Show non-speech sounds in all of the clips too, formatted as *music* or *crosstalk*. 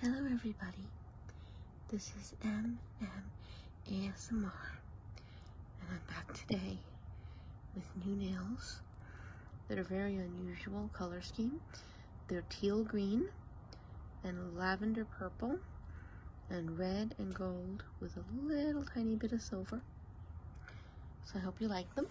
Hello, everybody. This is M M ASMR, and I'm back today with new nails that are very unusual color scheme. They're teal green and lavender purple and red and gold with a little tiny bit of silver. So I hope you like them.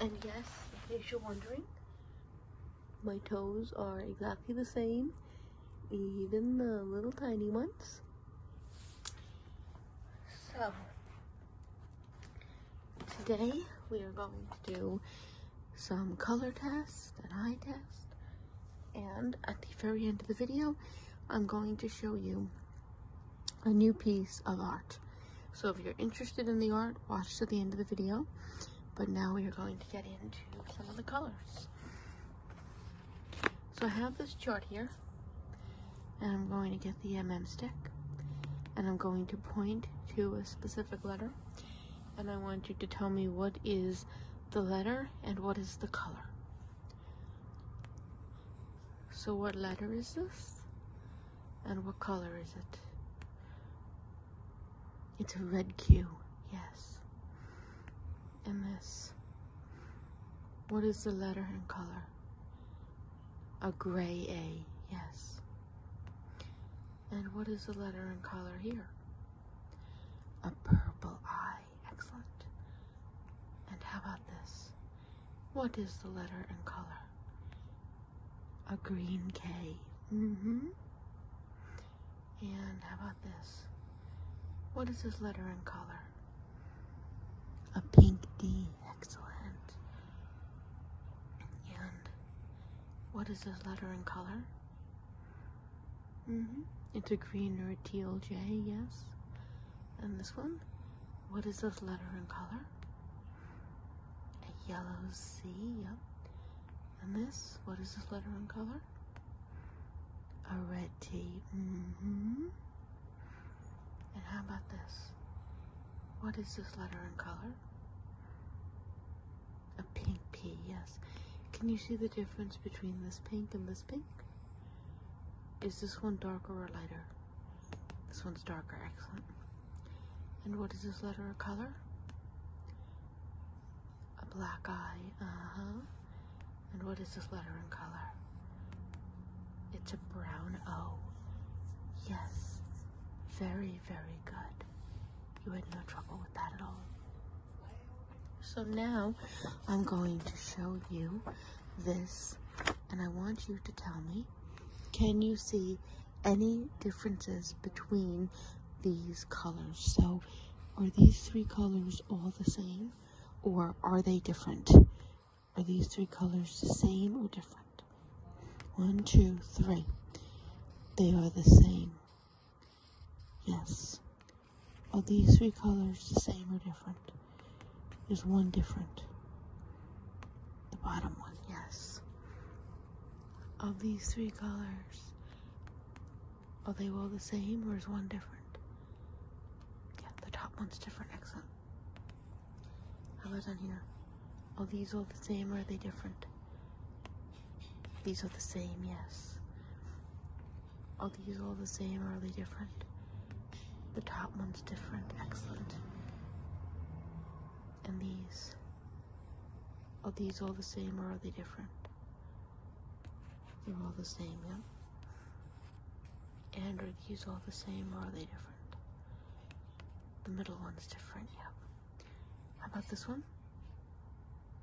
And yes, in case you're wondering, my toes are exactly the same, even the little tiny ones. So, today we are going to do some color test and eye test. And at the very end of the video, I'm going to show you a new piece of art. So if you're interested in the art, watch to the end of the video. But now we are going to get into some of the colors. So I have this chart here, and I'm going to get the MM stick, and I'm going to point to a specific letter, and I want you to tell me what is the letter and what is the color. So what letter is this? And what color is it? It's a red Q, yes. And this. What is the letter and color? A gray A, yes. And what is the letter and color here? A purple I, excellent. And how about this? What is the letter and color? a green K. Mm-hmm. And how about this? What is this letter in color? A pink D. Excellent. And what is this letter in color? Mm-hmm. It's a green or teal J, yes. And this one? What is this letter in color? A yellow C, yep. And this, what is this letter in color? A red T. Mm-hmm. And how about this? What is this letter in color? A pink P, yes. Can you see the difference between this pink and this pink? Is this one darker or lighter? This one's darker, excellent. And what is this letter or color? A black eye, uh-huh. And what is this letter in color? It's a brown O. Yes, very, very good. You had no trouble with that at all. So now I'm going to show you this, and I want you to tell me can you see any differences between these colors? So are these three colors all the same or are they different? Are these three colors the same or different? One, two, three. They are the same. Yes. Are these three colors the same or different? There's one different. The bottom one, yes of these three colors, are they all the same or is one different? Yeah, the top one's different, excellent. How about down here? Are these all the same or are they different? These are the same, yes. Are these all the same or are they different? The top one's different, excellent and these. Are these all the same or are they different? They're all the same, yeah? And are these all the same or are they different? The middle one's different, yeah. How about this one?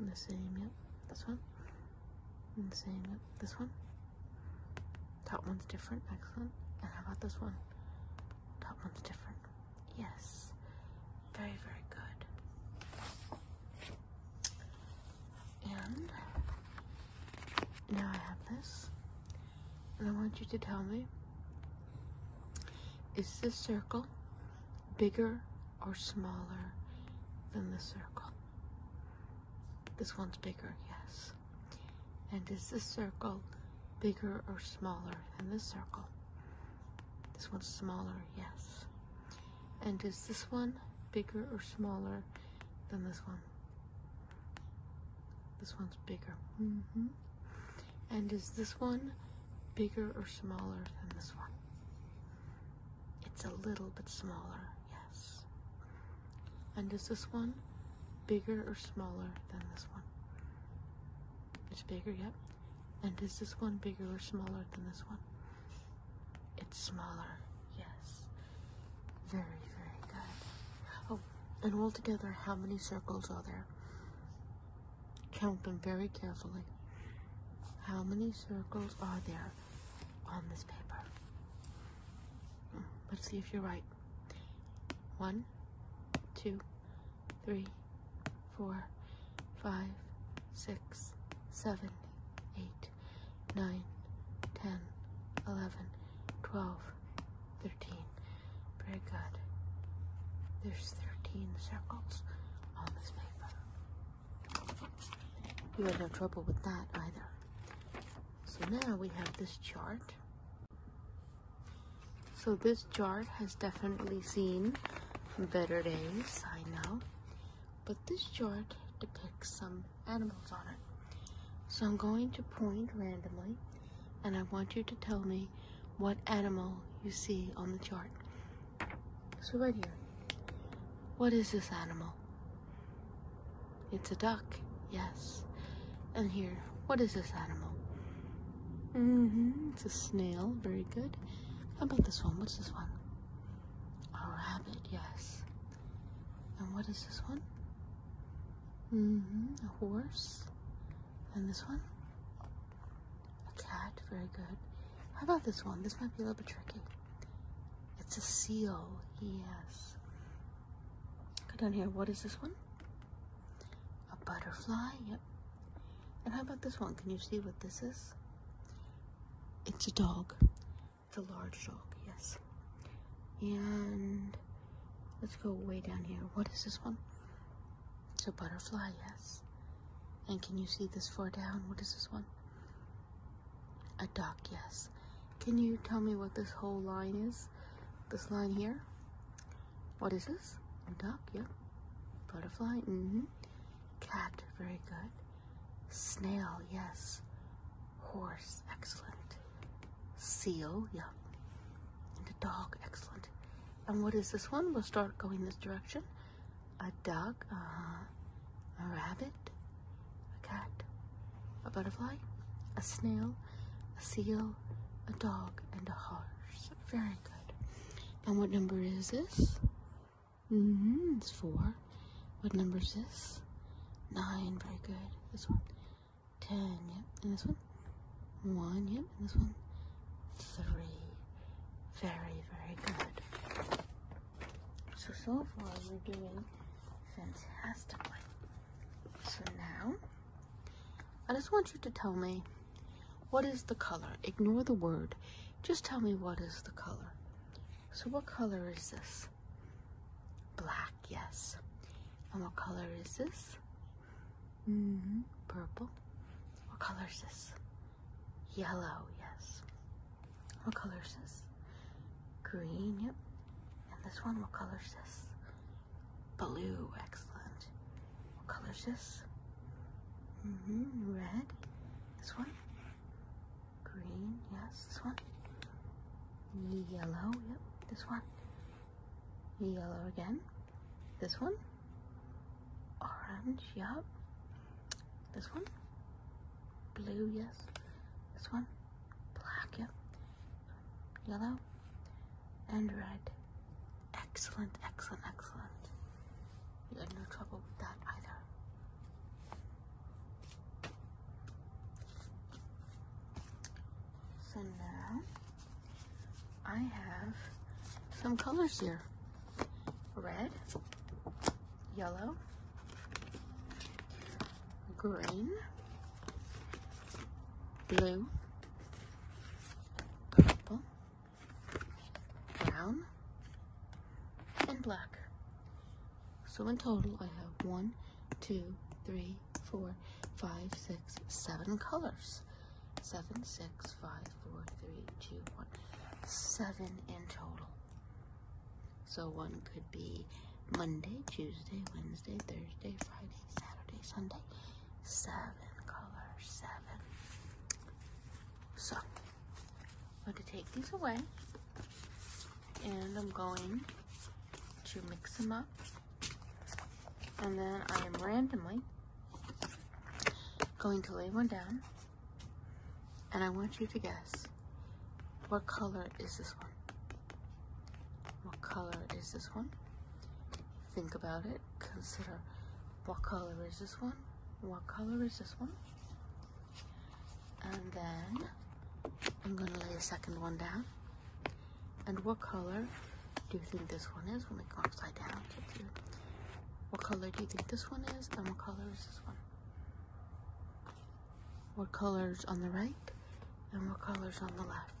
The same, yeah. This one? the same, yeah. This one? Top one's different, excellent. And how about this one? Top one's different. Yes, very, very good. And now I have this, and I want you to tell me is this circle bigger or smaller than the circle? This one's bigger, yes. And is this circle bigger or smaller than this circle? This one's smaller, yes. And is this one bigger or smaller than this one? This one's bigger. Mm-hmm. And is this one bigger or smaller than this one? It's a little bit smaller, yes. And is this one bigger or smaller than this one? It's bigger, yep. And is this one bigger or smaller than this one? It's smaller, yes. Very, very good. Oh, and altogether, how many circles are there? Count them very carefully. How many circles are there on this paper? Hmm, let's see if you're right. One, two, three, four, five, six, seven, eight, nine, ten, eleven, twelve, thirteen. Very good. There's thirteen circles on this paper. You had no trouble with that either. So now we have this chart. So this jar has definitely seen better days, I know. But this jar depicts some animals on it. So I'm going to point randomly and I want you to tell me what animal you see on the chart. So right here, what is this animal? It's a duck, yes. And here, what is this animal? Mm-hmm, it's a snail. Very good. How about this one? What's this one? A rabbit, yes. And what is this one? Mm-hmm, a horse. And this one? A cat, very good. How about this one? This might be a little bit tricky. It's a seal, yes. Go down here, what is this one? A butterfly, yep. And how about this one? Can you see what this is? It's a dog. It's a large dog, yes. And let's go way down here. What is this one? It's a butterfly, yes. And can you see this far down? What is this one? A duck, yes. Can you tell me what this whole line is? this line here. What is this? A duck, yep. Butterfly, hmm Cat, very good. Snail, yes. Horse, excellent. Seal, Yeah. And a dog, excellent. And what is this one? We'll start going this direction. A dog, uh-huh. A rabbit, a cat, a butterfly, a snail, a seal, a dog, and a horse. Very good. And what number is this? Mm-hmm, it's four. What number is this? Nine. Very good. This one. Ten. Yep. And this one? One. Yep. And this one? Three. Very, very good. So, so far we're doing fantastically. So now... I just want you to tell me what is the color. Ignore the word. Just tell me what is the color. So, what color is this? Black, yes. And what color is this? Mm Purple. What color is this? Yellow, yes. What color is this? Green, yep. And this one, what color is this? Blue, excellent. What color is this? hmm red. This one? Green, yes, this one. Yellow, yep, this one. Yellow again. This one. Orange, yep. This one. Blue, yes. This one. Black, yep yellow, and red. Excellent, excellent, excellent. You had no trouble with that either. So now I have some colors here. Red, yellow, green, blue, purple, brown, and black. So in total, I have one, two, three, four, five, six, seven colors. Seven, six, five, four, three, two, one. Seven in total. So one could be Monday, Tuesday, Wednesday, Thursday, Friday, Saturday, Sunday. So color seven. So, I'm going to take these away and I'm going to mix them up. And then I am randomly going to lay one down and I want you to guess what color is this one? What color is this one? Think about it consider what color is this one, what color is this one, and then I'm gonna lay a second one down. And what color do you think this one is when we go upside down? What color do you think this one is, and what color is this one? What color's on the right, and what color's on the left?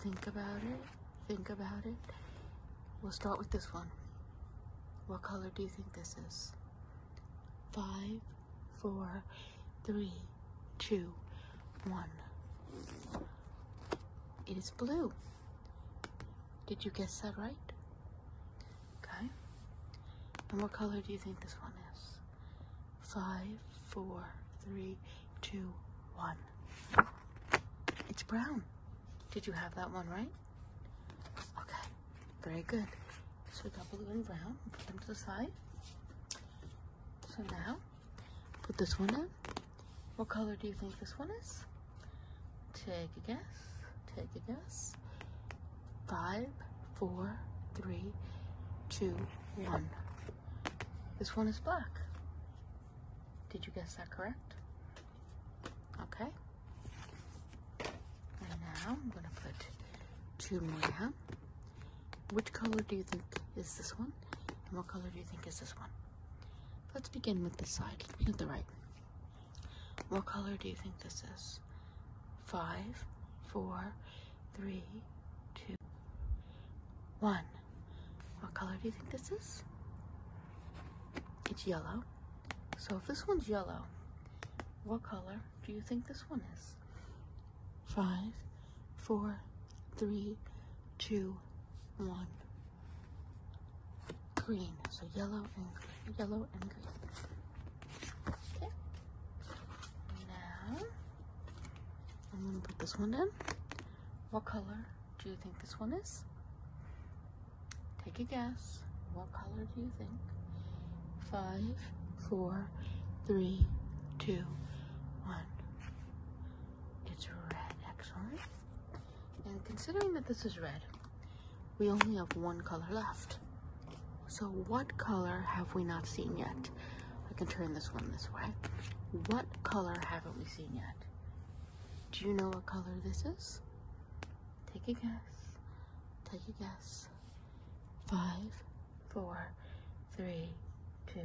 Think about it think about it. We'll start with this one. What color do you think this is? Five, four, three, two, one. It is blue. Did you guess that right? Okay. And what color do you think this one is? Five, four, three, two, one. It's brown. Did you have that one right? Okay, very good. So we double blue and brown, put them to the side. So now, put this one in. What color do you think this one is? Take a guess, take a guess. Five, four, three, two, one. This one is black. Did you guess that correct? Okay. And now I'm going to put two more. Which color do you think is this one? And what color do you think is this one? Let's begin with this side. Let's the right. What color do you think this is? Five, four, three, two, one. What color do you think this is? It's yellow. So if this one's yellow, what color do you think this one is? Five, four, three, two, one. Green. So yellow and green. yellow and green. Okay. Now I'm gonna put this one in. What color do you think this one is? Take a guess. What color do you think? Five, four, three, two, one. It's red, excellent. And considering that this is red, we only have one color left. So what color have we not seen yet? I can turn this one this way. What color haven't we seen yet? Do you know what color this is? Take a guess. Take a guess. Five, four, three, two,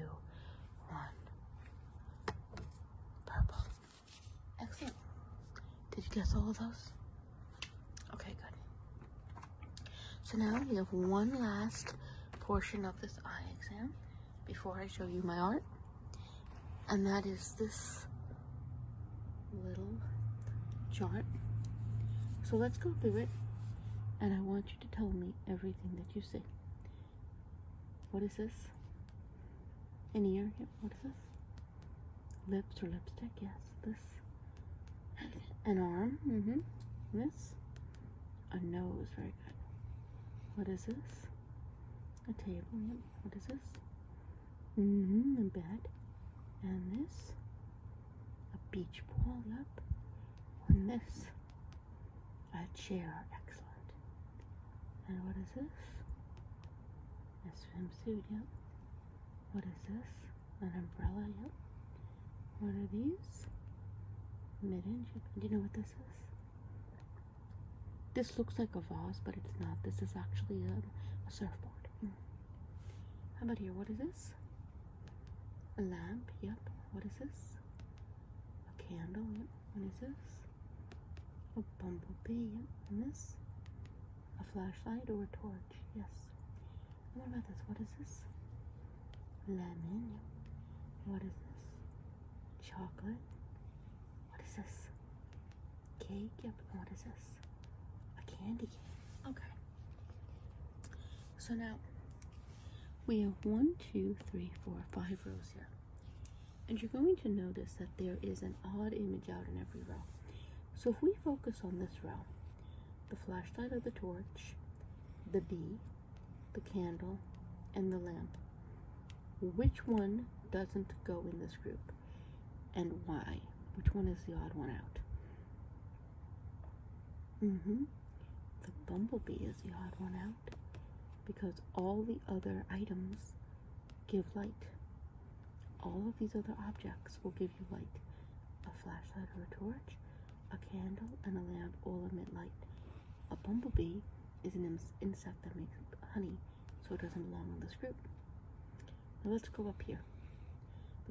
one. Purple. Excellent. Did you guess all of those? Okay, good. So now we have one last portion of this eye exam before I show you my art. And that is this little chart. So let's go through it. And I want you to tell me everything that you see. What is this? An ear? What is this? Lips or lipstick? Yes. This. An arm? Mm-hmm. This. A nose, very good. What is this? A table. Yep. What is this? hmm A bed. And this. A beach ball. Yep. And this. A chair. Excellent. And what is this? A swimsuit. Yep. What is this? An umbrella. Yep. What are these? Mid-inch. Do you know what this is? This looks like a vase, but it's not. This is actually a, surfboard. How about here? What is this? A lamp, yep. What is this? A candle, yep. What is this? A bumblebee, yep. And this? A flashlight or a torch, yes. And what about this? What is this? Lemon, yep. What is this? Chocolate? What is this? Cake? Yep, what is this? A candy Okay. So now, we have one, two, three, four, five rows here. And you're going to notice that there is an odd image out in every row. So if we focus on this row, the flashlight of the torch, the bee, the candle, and the lamp. Which one doesn't go in this group and why? Which one is the odd one out? hmm. The bumblebee is the odd one out because all the other items give light. All of these other objects will give you light. A flashlight or a torch, a candle, and a lamp all emit light. A bumblebee is an insect that makes honey, so it doesn't belong in this group. Now let's go up here.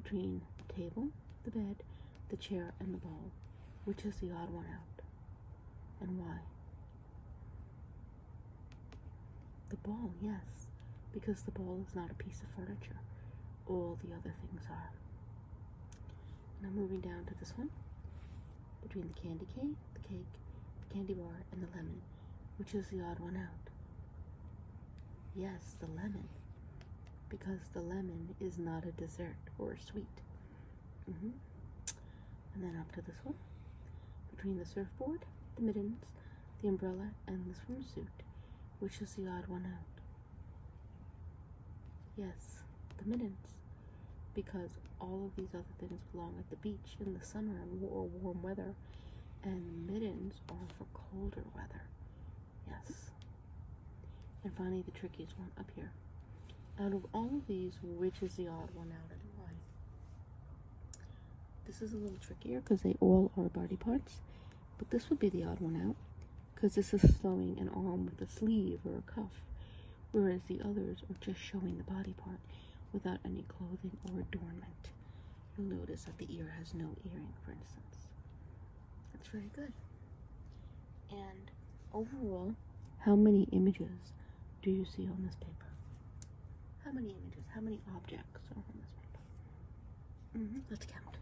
Between the table, the bed, the chair, and the ball, which is the odd one out? And why? The ball, yes, because the ball is not a piece of furniture. All the other things are. And I'm moving down to this one between the candy cane, the cake, the candy bar, and the lemon. Which is the odd one out? Yes, the lemon. Because the lemon is not a dessert or sweet. Mm-hmm. And then up to this one between the surfboard, the mittens, the umbrella, and the swimsuit. Which is the odd one out? Yes, the middens. Because all of these other things belong at the beach in the summer or warm weather, and middens are for colder weather. Yes. And finally, the trickiest one up here. Out of all of these, which is the odd one out and why? This is a little trickier because they all are body parts, but this would be the odd one out because this is sewing an arm with a sleeve or a cuff whereas the others are just showing the body part without any clothing or adornment. You'll notice that the ear has no earring, for instance. That's very good. And overall, how many images do you see on this paper? How many images, how many objects on this paper? Mm-hmm, let's count.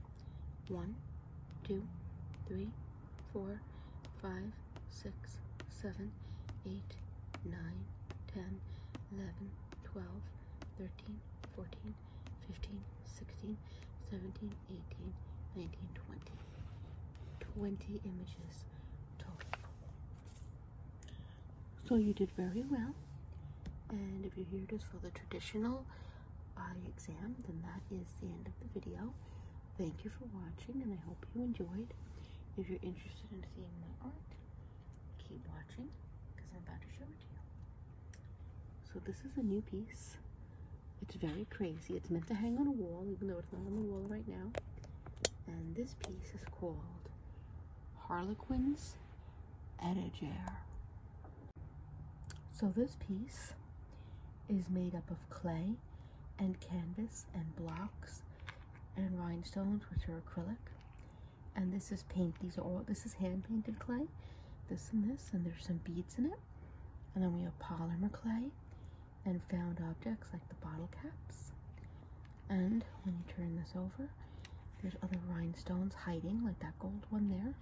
One, two, three, four, five, six, seven, eight, nine, ten, eleven, twelve, thirteen, fourteen, fifteen, sixteen, seventeen, eighteen, nineteen, twenty. Twenty images total. So you did very well. And if you're here just for the traditional eye exam, then that is the end of the video. Thank you for watching, and I hope you enjoyed. If you're interested in seeing my art, keep watching because I'm about to show it to you. So, this is a new piece. It's very crazy. It's meant to hang on a wall, even though it's not on the wall right now. And this piece is called Harlequin's Etager. So, this piece is made up of clay and canvas and blocks and rhinestones which are acrylic and this is paint these are all this is hand painted clay this and this and there's some beads in it and then we have polymer clay and found objects like the bottle caps and when you turn this over there's other rhinestones hiding like that gold one there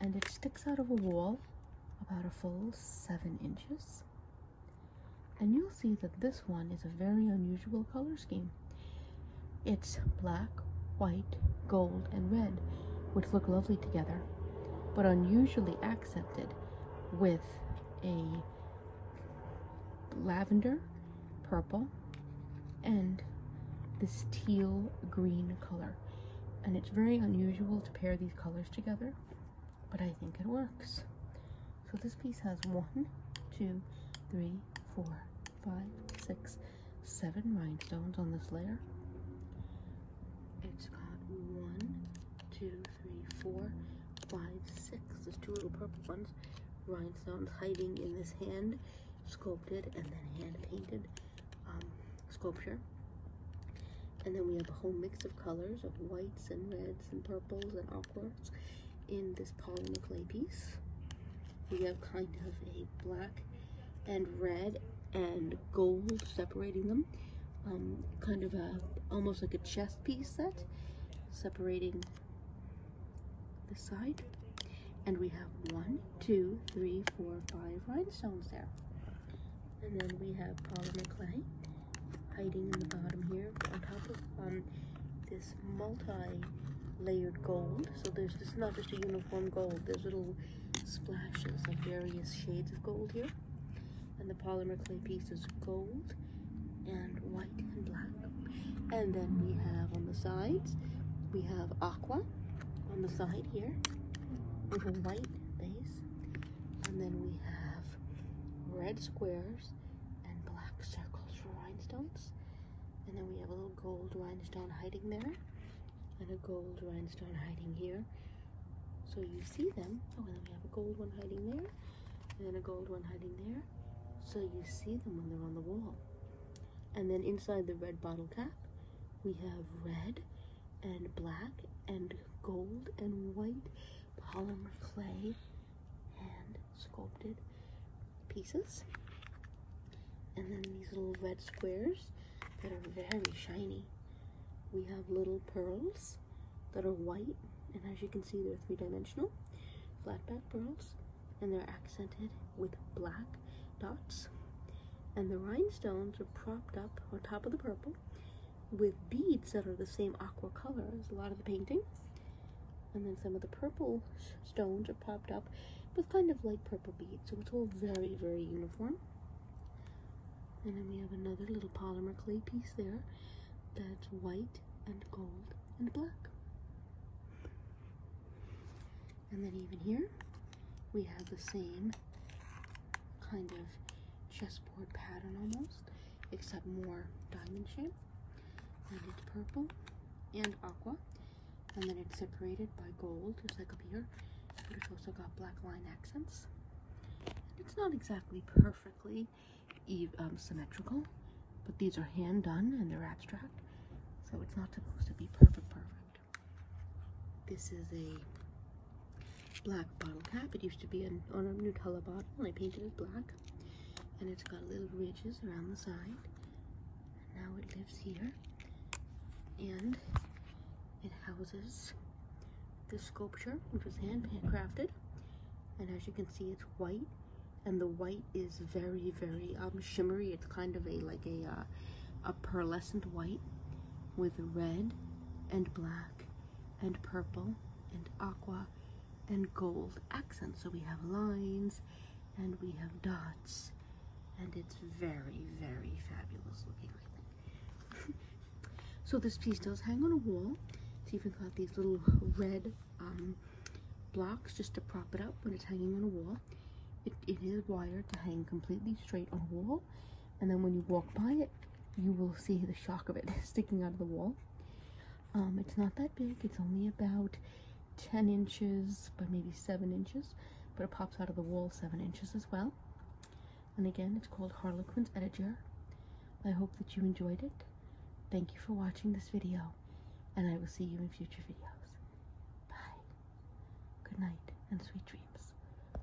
and it sticks out of a wall about a full seven inches. And you'll see that this one is a very unusual color scheme. It's black, white, gold, and red, which look lovely together, but unusually accented with a lavender, purple, and this teal green color. And it's very unusual to pair these colors together but I think it works. So this piece has one, two, three, four, five, six, seven rhinestones on this layer. It's got one, two, three, four, five, six. There's two little purple ones. Rhinestones hiding in this hand sculpted and then hand painted. Um, sculpture. And then we have a whole mix of colors of whites and reds and purples and aquas in this polymer clay piece. We have kind of a black and red and gold separating them. Um, kind of a, almost like a chess piece set, separating the side. And we have one, two, three, four, five rhinestones there. And then we have polymer clay hiding in the bottom here on top of um, this multi-layered gold. So there's this not just a uniform gold. There's little splashes of various shades of gold here. And the polymer clay pieces is gold and white and black. And then we have on the sides, we have aqua on the side here with a white base. And then we have red squares and black circles for rhinestones. And then we have a little gold rhinestone hiding there and a gold rhinestone hiding here. So you see them. Oh, and then we have a gold one hiding there and a gold one hiding there. So you see them when they're on the wall. And then inside the red bottle cap, we have red and black and gold and white polymer clay and sculpted pieces. And then these little red squares that are very shiny. We have little pearls that are white, and as you can see, they're three-dimensional, flat back pearls, and they're accented with black dots. And the rhinestones are propped up on top of the purple with beads that are the same aqua color as a lot of the painting. And then some of the purple stones are popped up with kind of like purple beads. So it's all very, very uniform. And then we have another little polymer clay piece there that's white and gold and black. And then even here, we have the same kind of chessboard pattern almost, except more diamond shape. And it's purple and aqua. And then it's separated by gold, It's like up here. But it's also got black line accents. it's not exactly perfectly um, symmetrical, but these are hand done and they're abstract. So it's not supposed to be perfect perfect. This is a black bottle cap. It used to be on a Nutella bottle, and I painted it black. And it's got little ridges around the side. And now it lives here. And it houses this sculpture, which was handcrafted. And as you can see, it's white. And the white is very, very um, shimmery. It's kind of a like a, uh, a pearlescent white with red and black and purple and aqua and gold accents. So we have lines and we have dots and it's very, very fabulous looking, *laughs* so this piece does hang on a wall. It's even got these little red um, blocks just to prop it up when it's hanging on a wall. it is wired to hang completely straight on a wall and then when you walk by it, you will see the shock of it *laughs* sticking out of the wall. Um, it's not that big, it's only about 10 inches, but maybe 7 inches, but it pops out of the wall 7 inches as well. And again, it's called Harlequin's Edger. I hope that you enjoyed it. Thank you for watching this video, and I will see you in future videos. Bye. Good night, and sweet dreams.